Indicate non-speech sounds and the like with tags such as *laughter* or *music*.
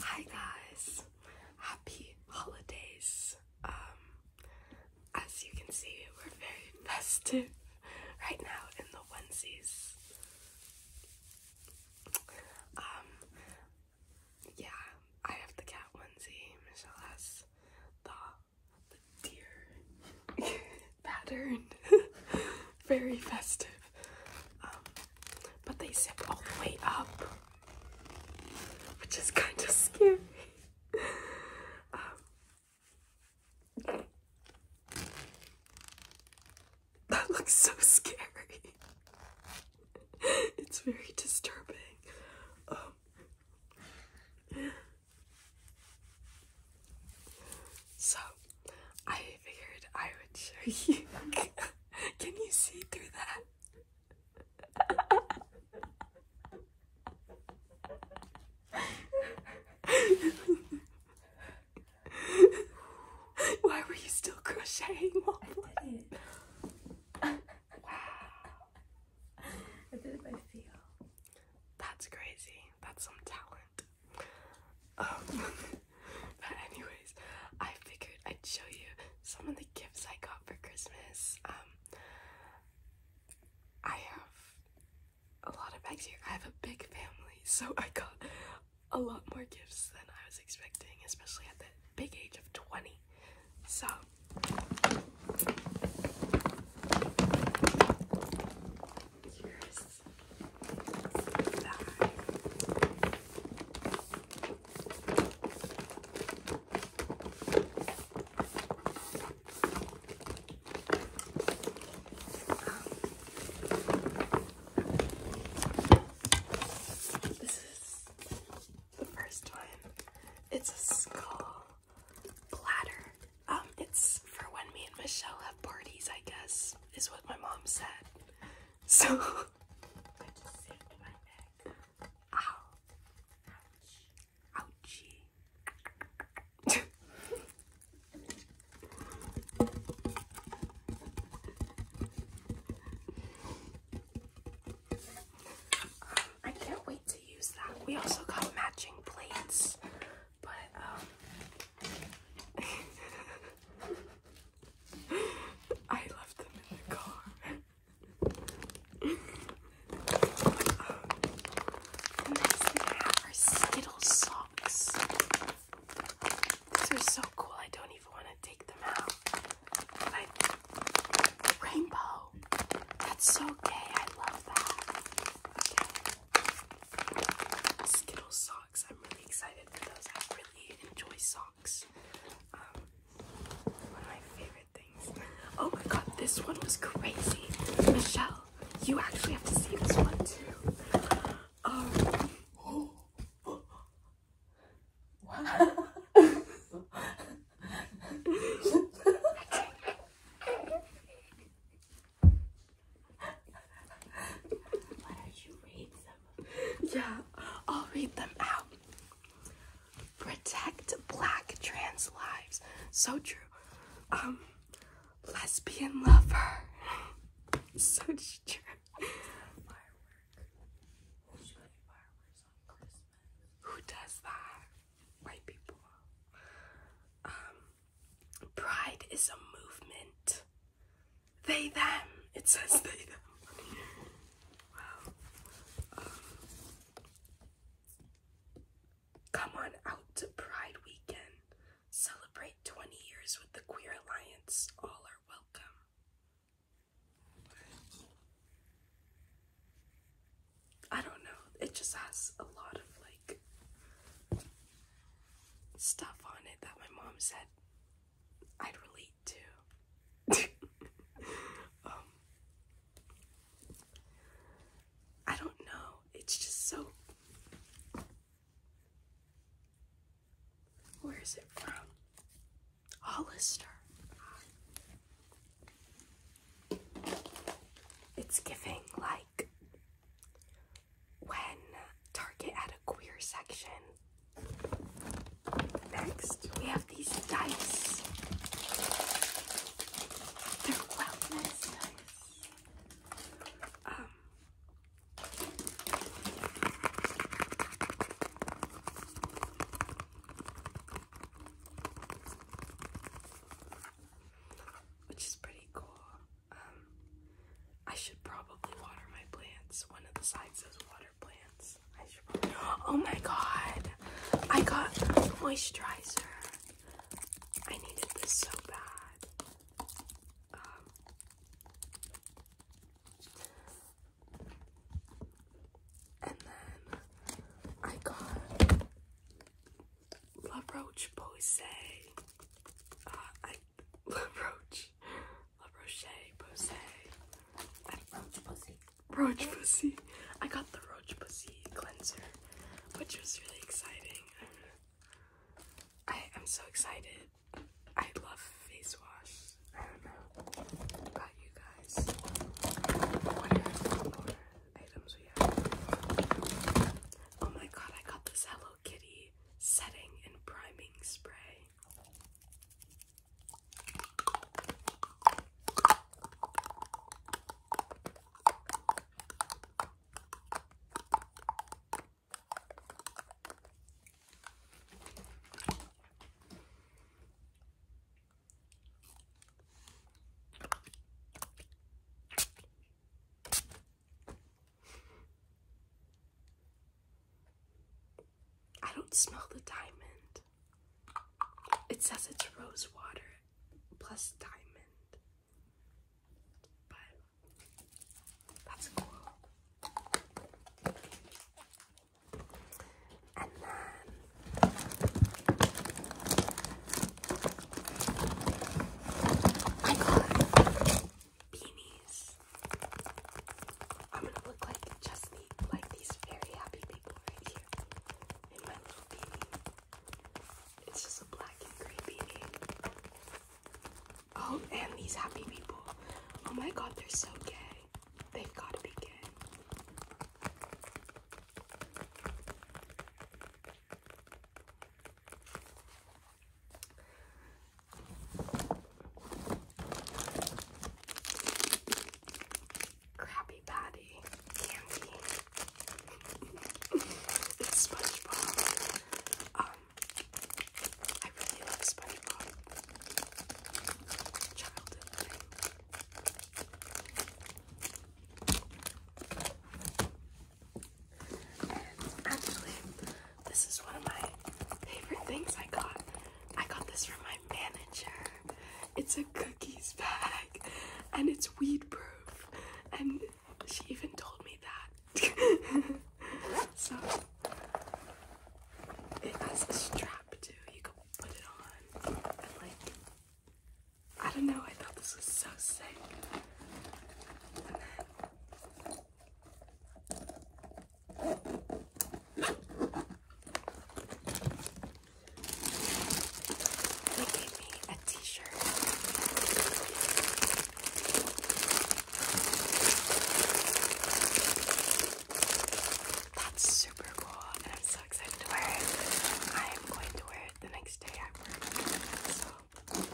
Hi guys, happy holidays. Um, as you can see, we're very *laughs* festive right now in the onesies. Um, yeah, I have the cat onesie. Michelle has the the deer *laughs* pattern. *laughs* very festive. Um, but they zip all the way up, which is kind of scary. Um, that looks so scary. it's very disturbing. Um, so I figured I would show you. *laughs* Can you see through that? *laughs* Why were you still crocheting? What? I did it. wow. I did it by feel. That's crazy. That's some talent. Um, *laughs* but anyways, I figured I'd show you some of the gifts I got for Christmas. Um, I have a lot of bags here. I have a big family, so I got a lot more gifts than I was expecting, especially at the big age of 20. So, here's this is the first one. It's a skull platter. Um, it's for when me and Michelle have parties, I guess, is what my mom said. So *laughs* I can't wait to use that. We also got matching plates, but um, *laughs* *laughs* I left them in the car. um, next we have our Skittle socks. These are so cool. I don't even want to take them out. rainbow. That's so gay. I love that. Skittle socks. I'm really excited for those. I really enjoy socks. Um, one of my favorite things. Oh my god, this one was crazy. Michelle, you actually have to see this one too. Um, *laughs* *laughs* Yeah, I'll read them out. Protect black trans lives. So true. Um, lesbian lover. Such *laughs* true. Firework. Who does that? White people. Um, pride is a movement. They, them. It says they, them. Um, come on out to Pride Weekend. Celebrate 20 years with the Queer Alliance. All are welcome. I don't know. It just has a lot of like stuff on it that my mom said I'd relate to. *laughs* Um, I don't know. It's just so. Where is it from? Hollister. It's giving like when Target had a queer section. Next, we have these dice. They're wellness dice. Um, which is pretty cool. I should probably water my plants. One of the sides says water plants. Oh my god! I got moisturizer. I needed this so bad. Um, and then I got La Roche Posay. Uh, I *laughs* La Roche La Roche Posay. I Roach Pussy. Roach Pussy. I got the Roach Pussy cleanser, which was really exciting. I am so excited. I love face wash. I don't know about you guys. Oh my god, I got this Hello Kitty setting and priming spray. I don't smell the diamond. It says it's rose water plus diamond. But that's cool. And then I got beanies. I'm gonna look like just me, like these very happy people right here in my little beanie. It's just a black and gray beanie. Oh, and these happy people. Oh my god, they're so gay. They've gotta be gay. Krabby Patty candy. it's *laughs* SpongeBob. Um, I really love SpongeBob. Childhood actually, this is one of my favorite things I got. I got this from my manager. It's a cookies bag and it's weed proof. And she even told me that. *laughs* so it has a strap too. You can put it on and like I don't know, I thought this was so sick. They gave me a t-shirt. That's super cool and I'm so excited to wear it. I am going to wear it the next day I work.